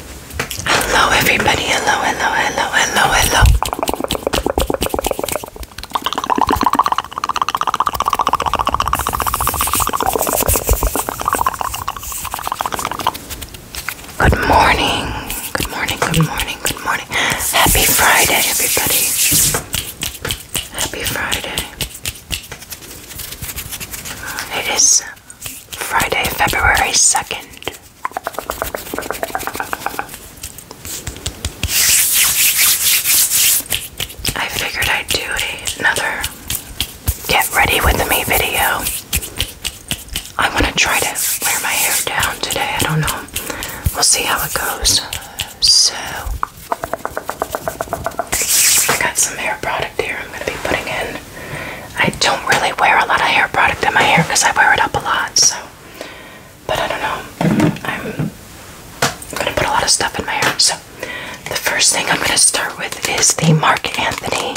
Hello, everybody. Hello, hello, hello, hello, hello. Good morning. Good morning, good morning, good morning. Happy Friday, everybody. Happy Friday. It is Friday, February 2nd. I figured I'd do another get ready with me video. I am going to try to wear my hair down today. I don't know. We'll see how it goes. So, I got some hair product here I'm going to be putting in. I don't really wear a lot of hair product in my hair because I wear it up a lot, so. But I don't know. I'm gonna put a lot of stuff in my hair. So, the first thing I'm gonna start with is the Mark Anthony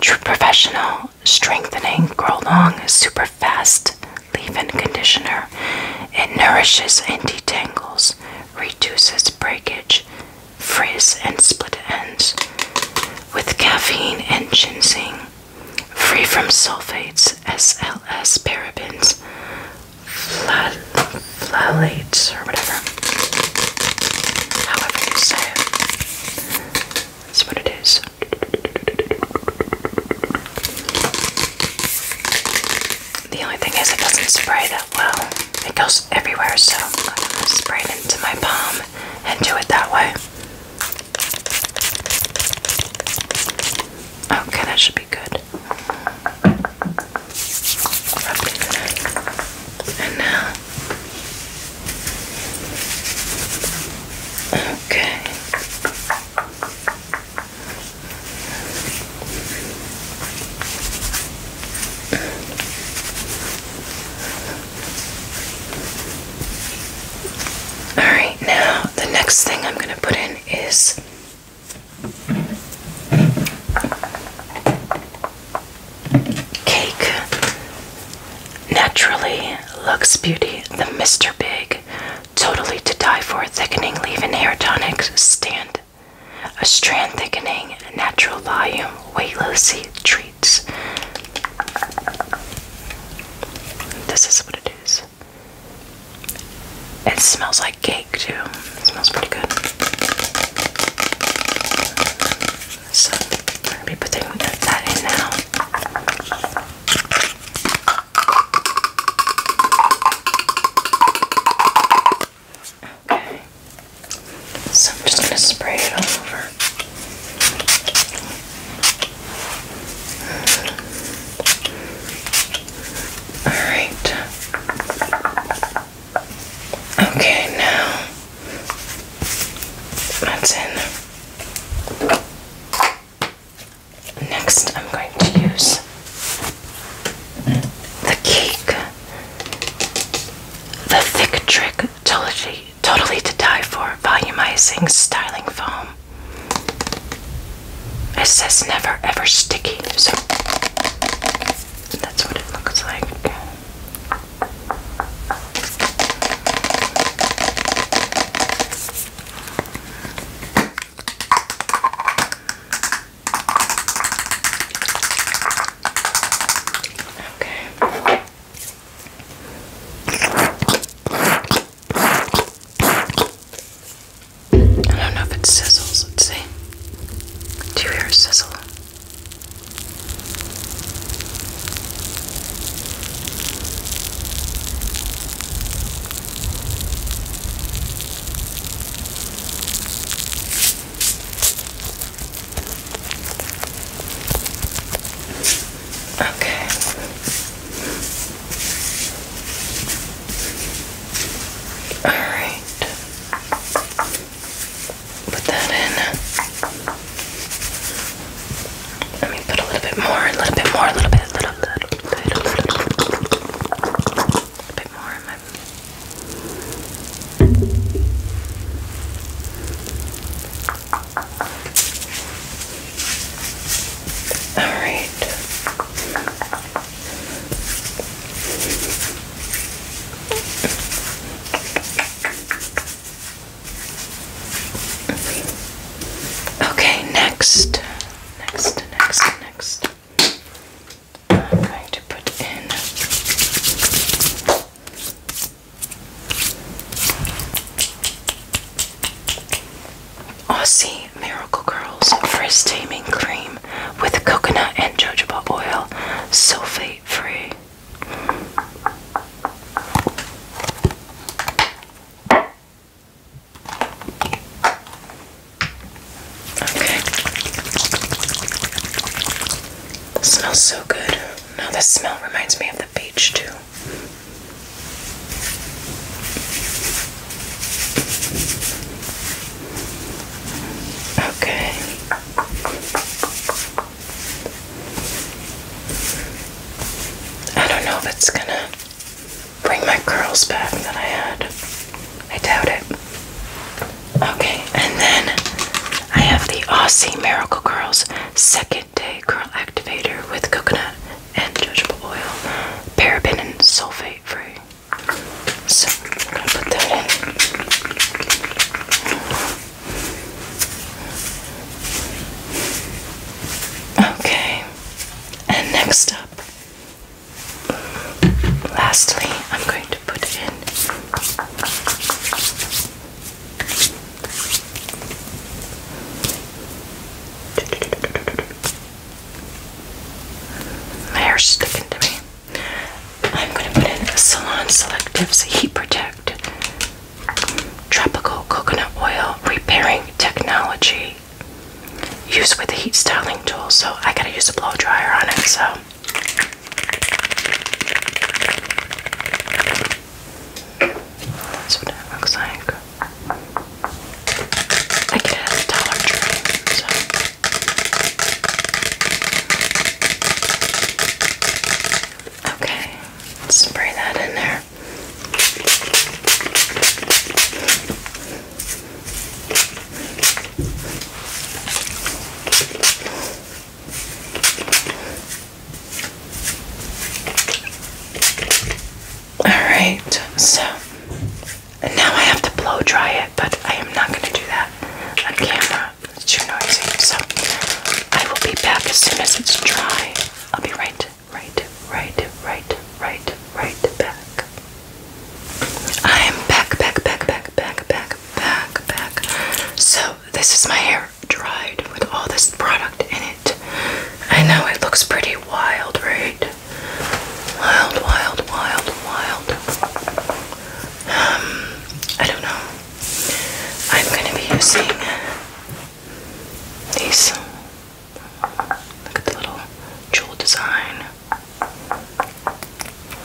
True Professional Strengthening Grow Long Super Fast Leave In Conditioner. It nourishes and detangles, reduces breakage, frizz and split ends, with caffeine and ginseng, free from sulfates, SLS, parabens, fla flalates, or whatever. However you say it. That's what it is. The only thing is, it doesn't spray that well. It goes everywhere, so I'm gonna spray it into my palm and do it that way. Okay, that should be good. And now, okay. Alright, now the next thing I'm going to put in is cake. Naturally, Lux Beauty, the Mr. Big, totally to die for thickening leave-in hair tonic stand. A strand thickening natural volume weight lossy treat. This is what it is. It smells like cake too. It smells pretty good. So we're gonna be putting that in now. Okay. So I'm just going to spray it all over. Alright. Okay, now that's in. Next, I'm going to use the cake, the Thick Trick Tulsi totally to die for volumizing styling foam it says never ever sticky so that's what it looks like Okay. I don't know if it sizzles. Let's see. Do you hear a sizzle? Okay. All right. Put that in. Let me put a little bit more, a little bit more, a little bit, a little, little, little, little, bit more in my. Okay. All right. Okay, next. Next, next, next. I'm going to put in Aussie oh, Miracle Girls Frizz Taming Cream with coconut and jojoba oil, sulfate free. This smells so good. Now, this smell reminds me of the beach, too. Okay. I don't know if it's going to bring my curls back that I had. I doubt it. Okay, and then I have the Aussie Miracle Curls second day curl activator with coconut and jojoba oil, paraben and sulfate free. So I'm gonna put that in. Okay, and next up, lastly, I'm going to put in my hair's sticking to me. I'm gonna put in Salon Selective's Heat Protect Tropical Coconut Oil Repairing Technology. Used with the heat styling tool, so I gotta use a blow dryer on it, so. That's what it looks like. Like it has Dollar Tree, Okay, spray that in there. Alright, so now I have to blow dry it, but I am not going to do that on camera. It's too noisy. So I will be back as soon as it's dry. I'll be right, right, right, right, right, right back. I am back, back, back, back, back, back, back, So this is my hair dried with all this product in it. I know it looks pretty wild, right? Wild, wild, wild, wild. Um, I don't know. I'm gonna be using these. Look at the little jewel design.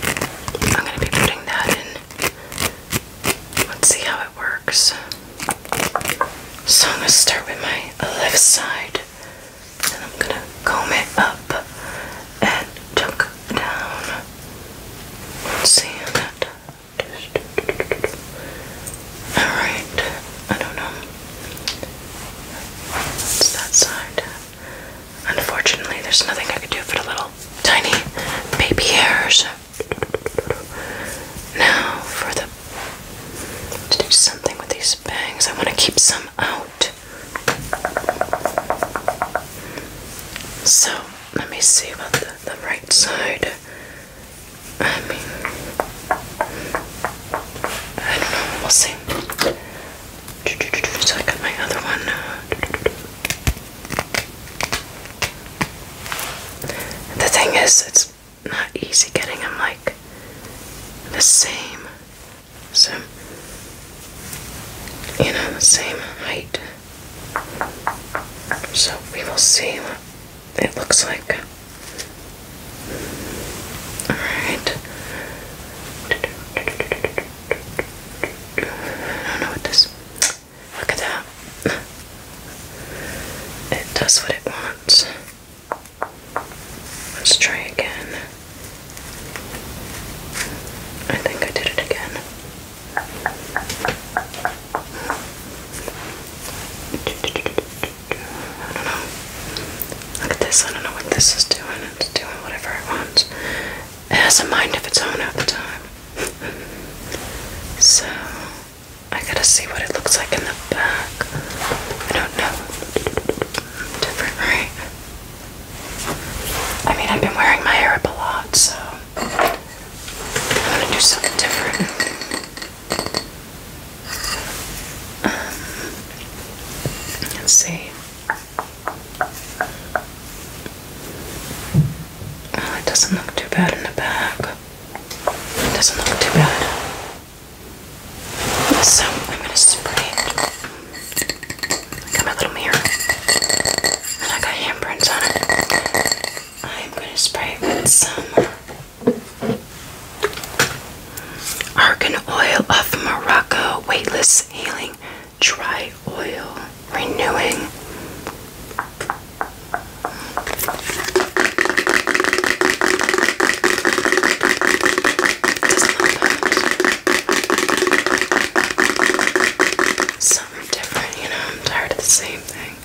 I'm gonna be putting that in Let's see how it works. So I'm going to start with my left side and I'm going to comb it up and tuck down. see Alright, I don't know. It's that side. Unfortunately, there's nothing I can do for the little tiny baby hairs. Now for the to do something with these bangs. I want to keep some out. So let me see about the, right side. I mean, I don't know. We'll see. So I got my other one. The thing is, it's not easy getting them like the same. So, you know, the same height. So, we will see what it looks like. Alright. I don't know what this Look at that. It does what it wants. Let's try again. I think I did it again. I don't know. Look at this. I don't know what this is doing. It's doing whatever it wants. It has a mind of its own at the time. so I gotta see what it looks like in the back. I don't know. Different, right? I mean, I've been wearing my hair up a lot, so I'm gonna do something different. Um, let's see. Oh, it doesn't look too bad in the back. It doesn't look too bad. So I'm gonna spray it. I got my little mirror. And I got handprints on it. I'm gonna spray it with some Argan Oil of Morocco Weightless Healing Dry Oil Renewing Something different, you know, I'm tired of the same thing.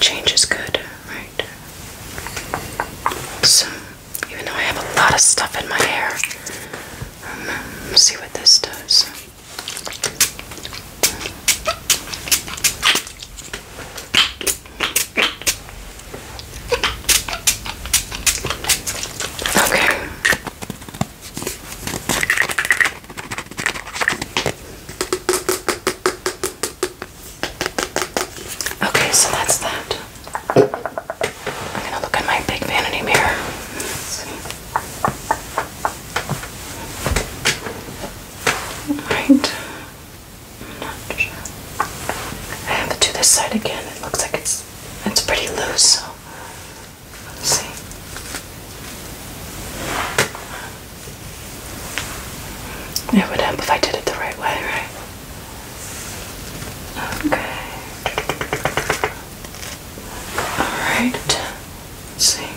Change is good, right? So, even though I have a lot of stuff in my hair, um, see what this does. Okay. Okay, so that's that. I'm gonna look in my big vanity mirror. Right. i not sure. I have to do this side again. It looks like it's it's pretty loose, so see. It would help if I did it the right way, right? Okay. Alright. see.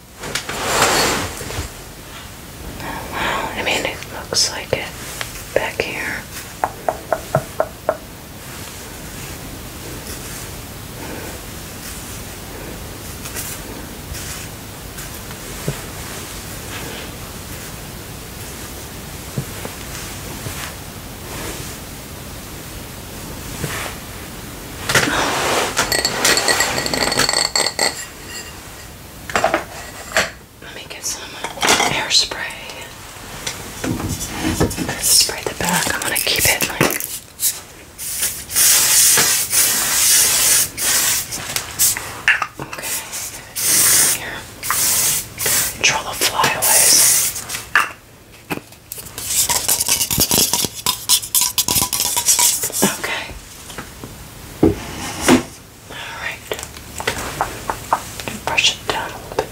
wow, I mean, it looks like it back here. Let me get some hairspray. Let's spray the back. I'm gonna keep it like Okay. Here. Control the flyaways. Okay. All right. Brush it down a little bit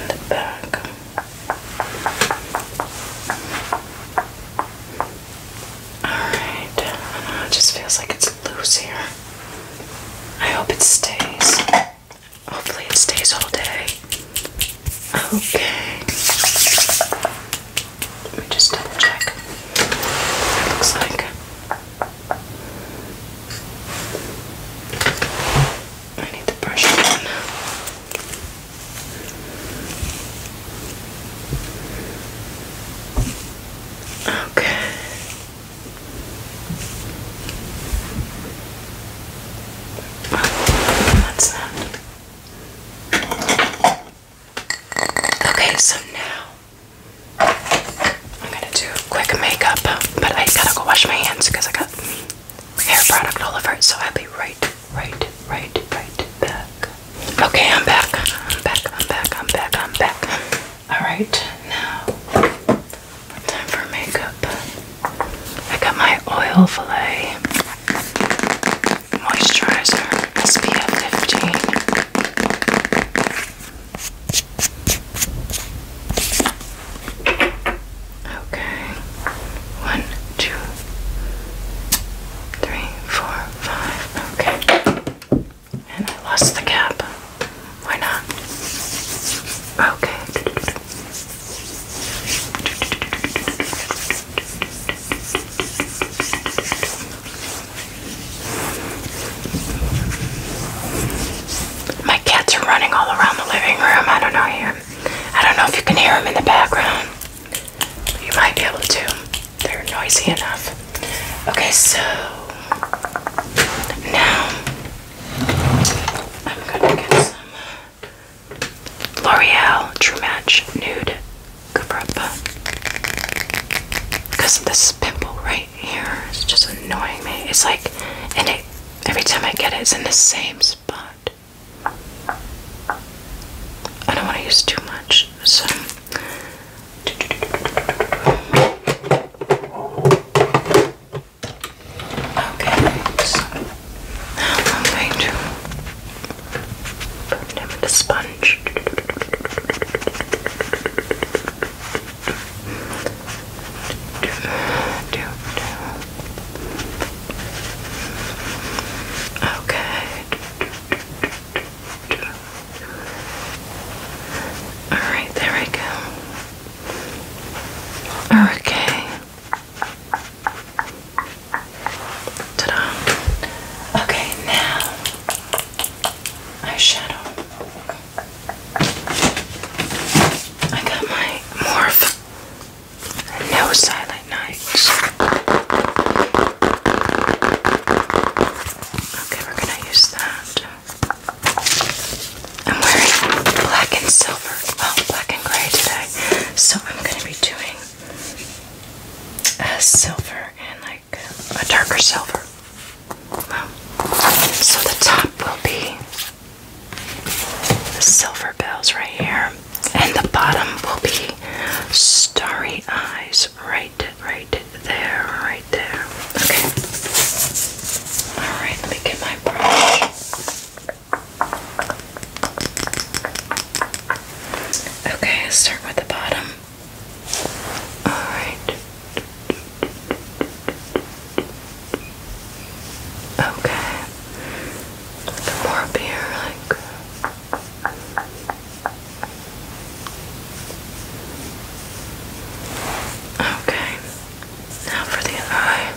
in the back. All right. Uh, it just feels like it's loose here. I hope it stays. Hopefully, it stays all day. Okay. Let me just double check. looks like. I need the brush again. Okay. Well, that. Okay, so now I'm gonna do quick makeup, but I gotta go wash my hands because I got hair product all over so I'll be right, right, right, right back. Okay, I'm back. I'm back, I'm back, I'm back, I'm back. Alright, now time for makeup. I got my oil filet. Moisturizer SPF 15. Okay. One, two, three, four, five. Okay. And I lost the cap. Why not? Okay. My cats are running all around the living room. I don't know here. I don't know if you can hear them in the background. You might be able to. They're noisy enough. Okay, so now I'm gonna get some L'Oreal True Match Nude Cover-Up. Because this pimple right here is just annoying me. It's like, and it, every time I get it, it's in the same spot. I don't want to use too much, so. Okay, I'm going to put him in a sponge. Okay. Alright, there we go. Okay. Ta-da! Okay, now eyeshadow. I got my Morph No Silent Nights. Okay, we're gonna use that. I'm wearing black and silver, well, oh, black and gray today, so I'm gonna be doing a silver and like a darker silver. So the top will be the silver bells right here, and the bottom will be starry eyes right, right there, right there. Okay. All right, let me get my Okay, start with the bottom. Alright. Okay. Like more up here, like Okay. Now for the eye.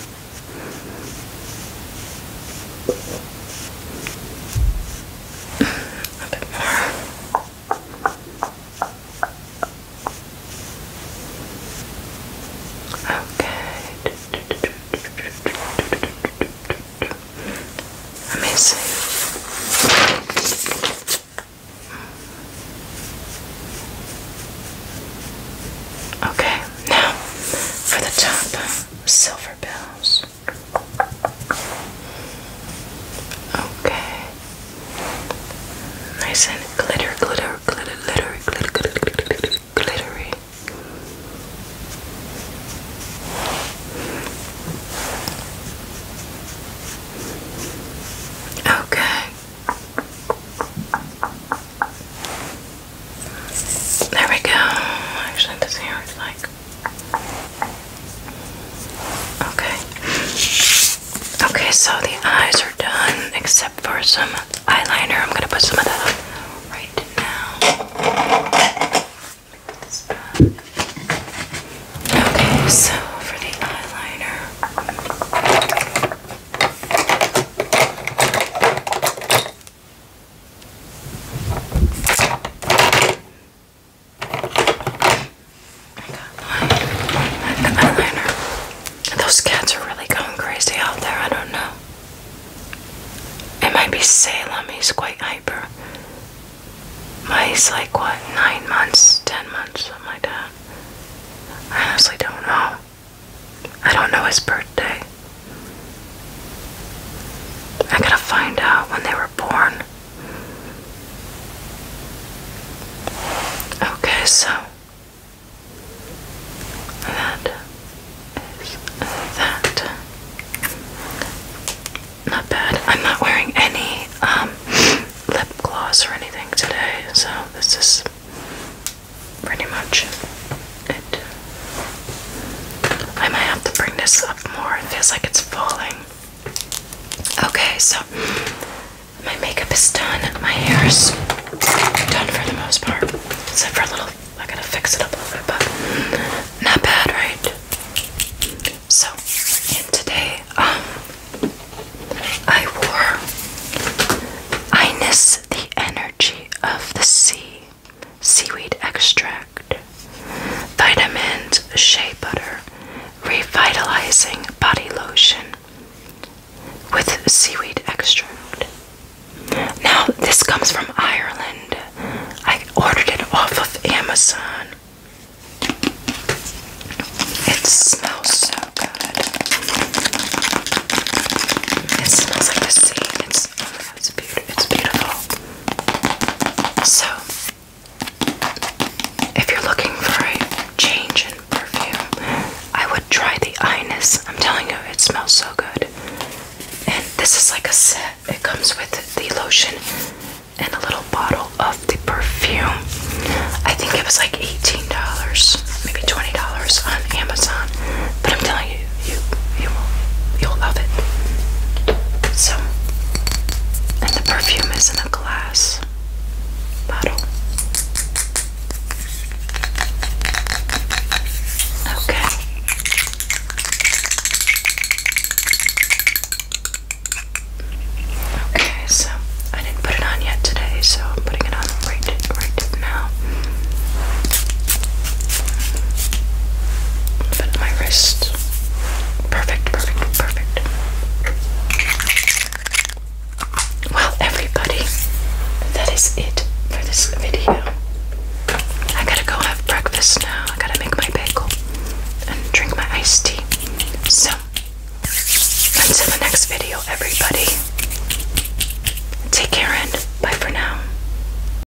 A bit more. Okay. Okay, now for the top silver bells. Okay. Nice and glitter, glitter, glitter, glittery, glitter, glitter, glitter, glittery. Okay. There we go. Actually, this hair is like. Okay. Okay, so the eyes are done except for some eyeliner. I'm gonna put some of that on right now. Okay, so for the eyeliner got my eyeliner. Those cats are really going crazy out there. I don't know. It might be Salem. He's quite hyper. He's like, what, nine months, ten months, something like that. I honestly don't know. I don't know his birthday. I gotta find out when they were born. Okay, so that is that. Not bad. I'm not wearing any um, lip gloss or anything today, so this is pretty much it. I might have to bring this up more. It feels like it's falling. Okay, so my makeup is done. My hair is done for the most part. Except for a little, I gotta fix it up a little bit, but not bad, right? So, and today, um, I wore Ines the Energy of the Sea seaweed extract, vitamins, shea butter, revitalizing body lotion with seaweed extract. Now, this comes from Ireland. I ordered it off of Amazon. It smells so good. It smells like the sea. It's beautiful. It's beautiful. So, if you're looking for a change in perfume, I would try the Ines. I'm telling you, it smells so good. And this is like a set. It comes with the lotion and a little bottle of the perfume. I think it was like $18, maybe $20 on Amazon. But I'm telling you, you you will you'll love it. So and the perfume is in a glass bottle. Okay. Okay, so I didn't put it on yet today, so I'm putting it on right right now. But my wrist. Perfect, perfect, perfect. Well, everybody, that is it for this video. I gotta go have breakfast now. I gotta make my bagel and drink my iced tea. So, until the next video, everybody, take care and bye for now.